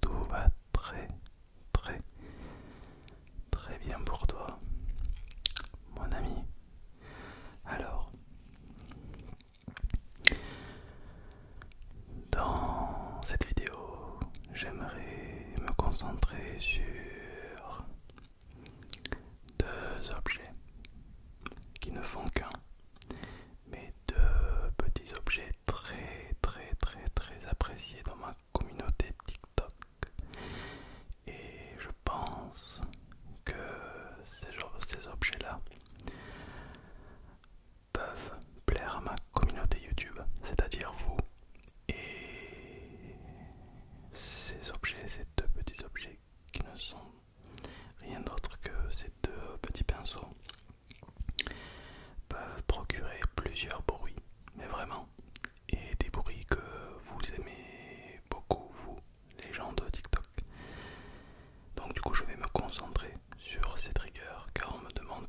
tout va très très très bien pour toi mon ami alors dans cette vidéo j'aimerais me concentrer sur deux objets qui ne font qu'un mais deux objets très très très très appréciés dans ma communauté TikTok. Et je pense que ces, ces objets-là peuvent plaire à ma communauté YouTube, c'est-à-dire vous. Et ces objets, ces deux petits objets qui ne sont rien d'autre que ces deux petits pinceaux peuvent procurer plusieurs bruits, mais vraiment, et des bruits que vous aimez beaucoup, vous, les gens de TikTok. Donc du coup, je vais me concentrer sur ces triggers, car on me demande,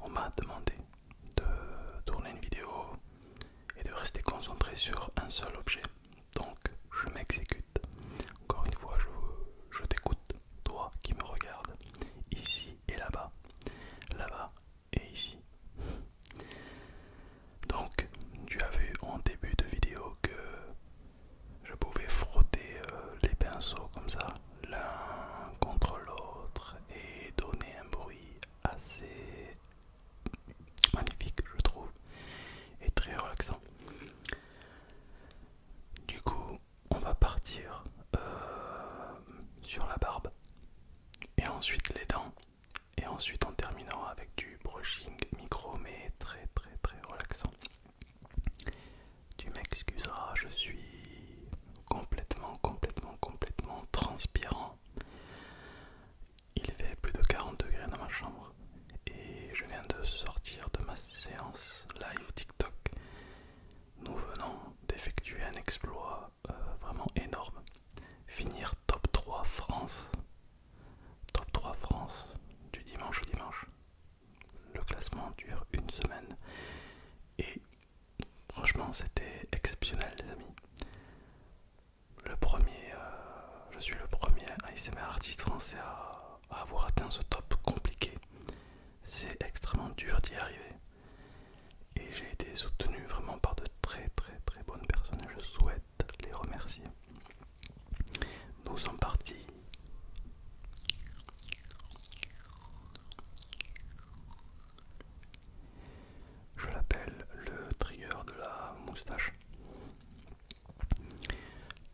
on m'a demandé de tourner une vidéo et de rester concentré sur un seul objet. Donc, je m'exécute. Encore une fois, je, t'écoute, toi qui me regarde. Ici et là-bas, là-bas et ici. Donc, tu as vu en début de vidéo que je pouvais frotter euh, les pinceaux comme ça, l'un contre l'autre et donner un bruit assez magnifique, je trouve, et très relaxant. Du coup, on va partir euh, sur la barbe et ensuite les dents et ensuite on terminera avec du brushing micro mais très très très relaxant tu m'excuseras je suis complètement complètement complètement transpirant il fait plus de 40 degrés dans ma chambre et je viens de sortir de ma séance live TikTok nous venons d'effectuer un exploit euh, vraiment énorme. Finir top 3 France. Top 3 France du dimanche au dimanche. Le classement dure une semaine. Et franchement c'était exceptionnel les amis. Le premier, euh, je suis le premier ASMR artiste français à avoir atteint ce top compliqué. C'est extrêmement dur d'y arriver. Et j'ai été soutenu vraiment par de très très très bonnes personnes et je souhaite les remercier. Nous sommes partis je l'appelle le trigger de la moustache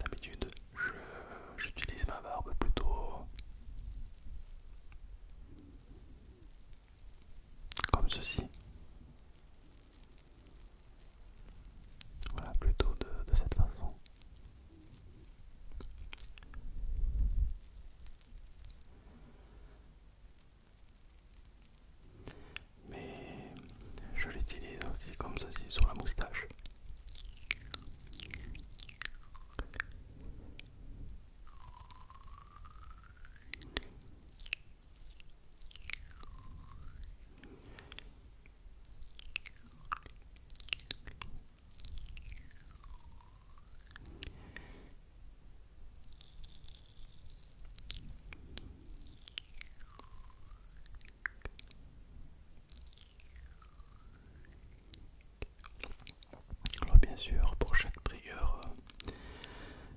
D'habitude, j'utilise ma barbe plutôt comme ceci. Voilà, plutôt de, de cette façon. Mais je l'utilise aussi comme ceci sur la moustache. Alors bien sûr, pour chaque trigger euh,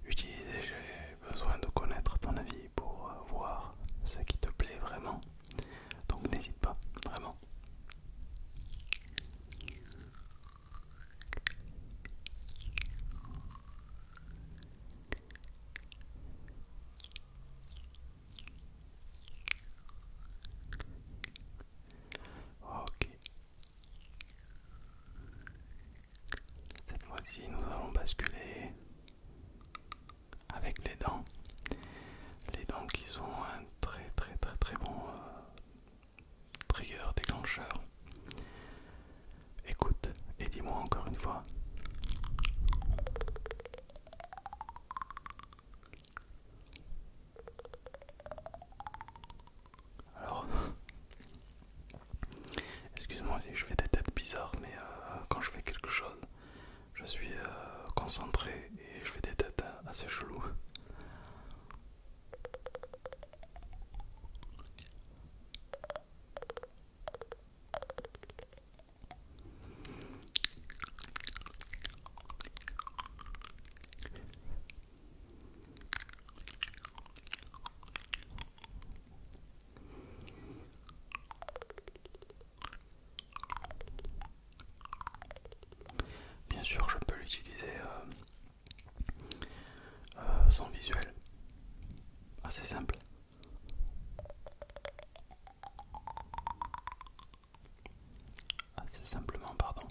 utilisé, j'ai besoin de connaître ton avis pour euh, voir ce qui te plaît vraiment. Donc n'hésite pas, vraiment. Ok. Cette fois-ci, nous allons basculer avec les dents. Les dents qui sont un très très très très bon euh, Trigger déclencheur. Écoute et dis-moi encore une fois. Alors, excuse-moi si je fais des têtes bizarres, mais euh, quand je fais quelque chose, je suis euh, concentré et je fais des têtes euh, assez cheloues. Bien sûr, je peux l'utiliser euh, euh, son visuel assez simple assez simplement pardon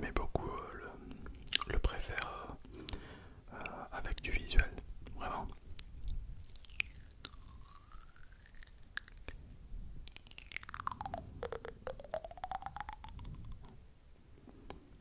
mais beaucoup euh, le, préfère préfèrent euh, avec du visuel, vraiment.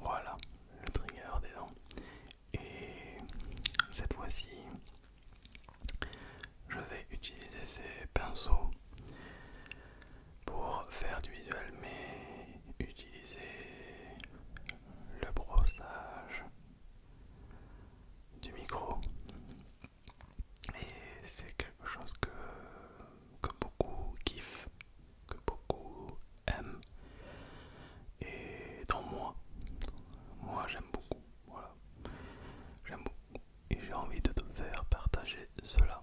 Voilà le trigger des dents. Et cette fois-ci, je vais utiliser ces pinceaux pour faire du visuel, mais utiliser le brossage du micro. Et c'est quelque chose que que beaucoup kiffent, que beaucoup aiment. Et dans moi, moi j'aime beaucoup. Voilà. J'aime beaucoup. Et j'ai envie de te faire partager cela.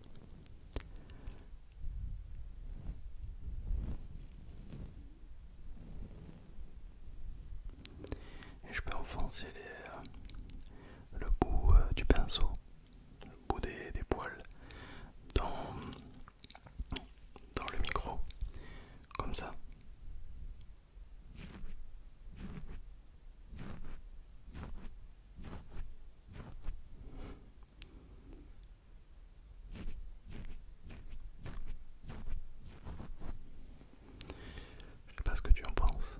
Et je peux enfoncer euh, le bout euh, du pinceau, le bout des, des poils dans, dans le micro, comme ça. Je sais pas ce que tu en penses.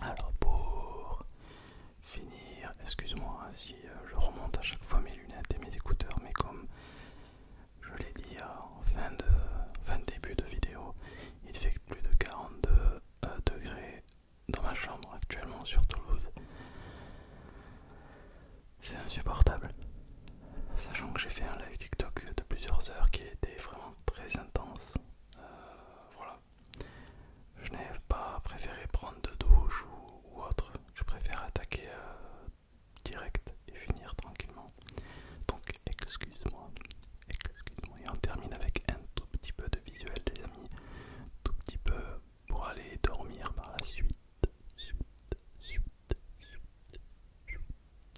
Alors pour finir, excuse-moi si euh, je remonte à chaque fois mes lunettes et mes écouteurs, mais comme je l'ai dit euh, en fin de, début de vidéo, il fait plus de 42 euh, degrés dans ma chambre actuellement sur Toulouse. C'est insupportable. Sachant que j'ai fait un live TikTok de plusieurs heures qui était vraiment très intense. voilà, je n'ai pas préféré prendre de douche ou, autre. Je préfère attaquer euh, direct et finir tranquillement. Donc excuse-moi. Excuse-moi. Et on termine avec un tout petit peu de visuel les amis. Tout petit peu pour aller dormir par la suite,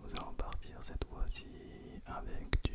Nous allons partir cette fois-ci avec du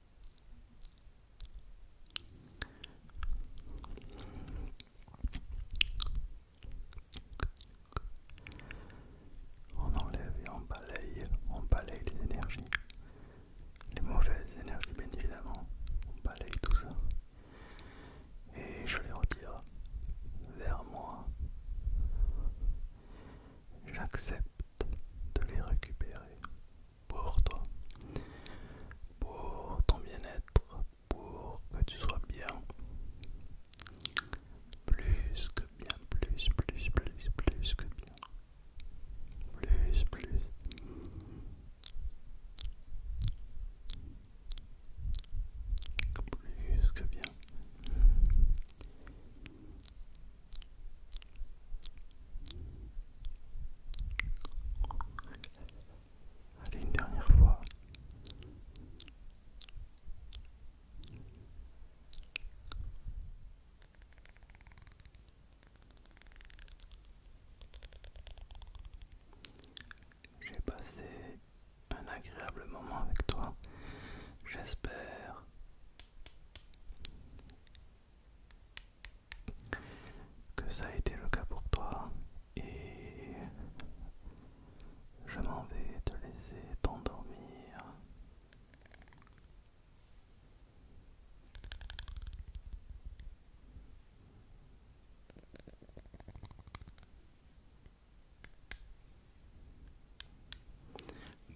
On enlève et on balaye, on balaye les énergies, les mauvaises énergies bien évidemment, on balaye tout ça et je les retire vers moi. J'accepte de les récupérer pour toi, pour ton bien-être, pour que tu sois bien. Plus que bien, plus, plus, plus, plus que bien. Plus, plus. Plus que bien. Allez, une dernière fois. J'ai passé un agréable moment avec toi. J'espère que ça a été le cas pour toi et je m'en vais te laisser t'endormir.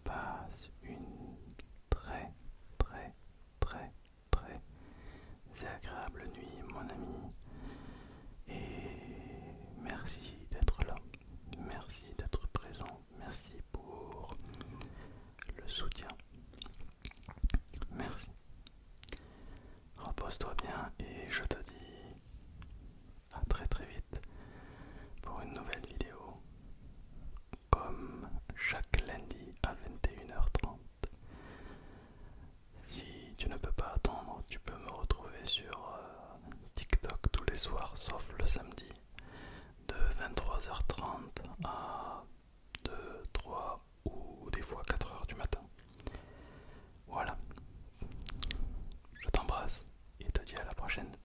Passe une très très très très agréable nuit mon ami et merci d'être là, merci d'être présent, merci pour le soutien. Merci. Repose-toi bien et je te dis à très très vite pour une nouvelle vidéo comme chaque lundi à 21h30. Si tu ne peux pas attendre, tu peux me retrouver sur euh, TikTok tous les soirs sauf le samedi de 23h30 à 2, 3 ou des fois 4h du matin. Voilà. Je t'embrasse et te dis à la prochaine.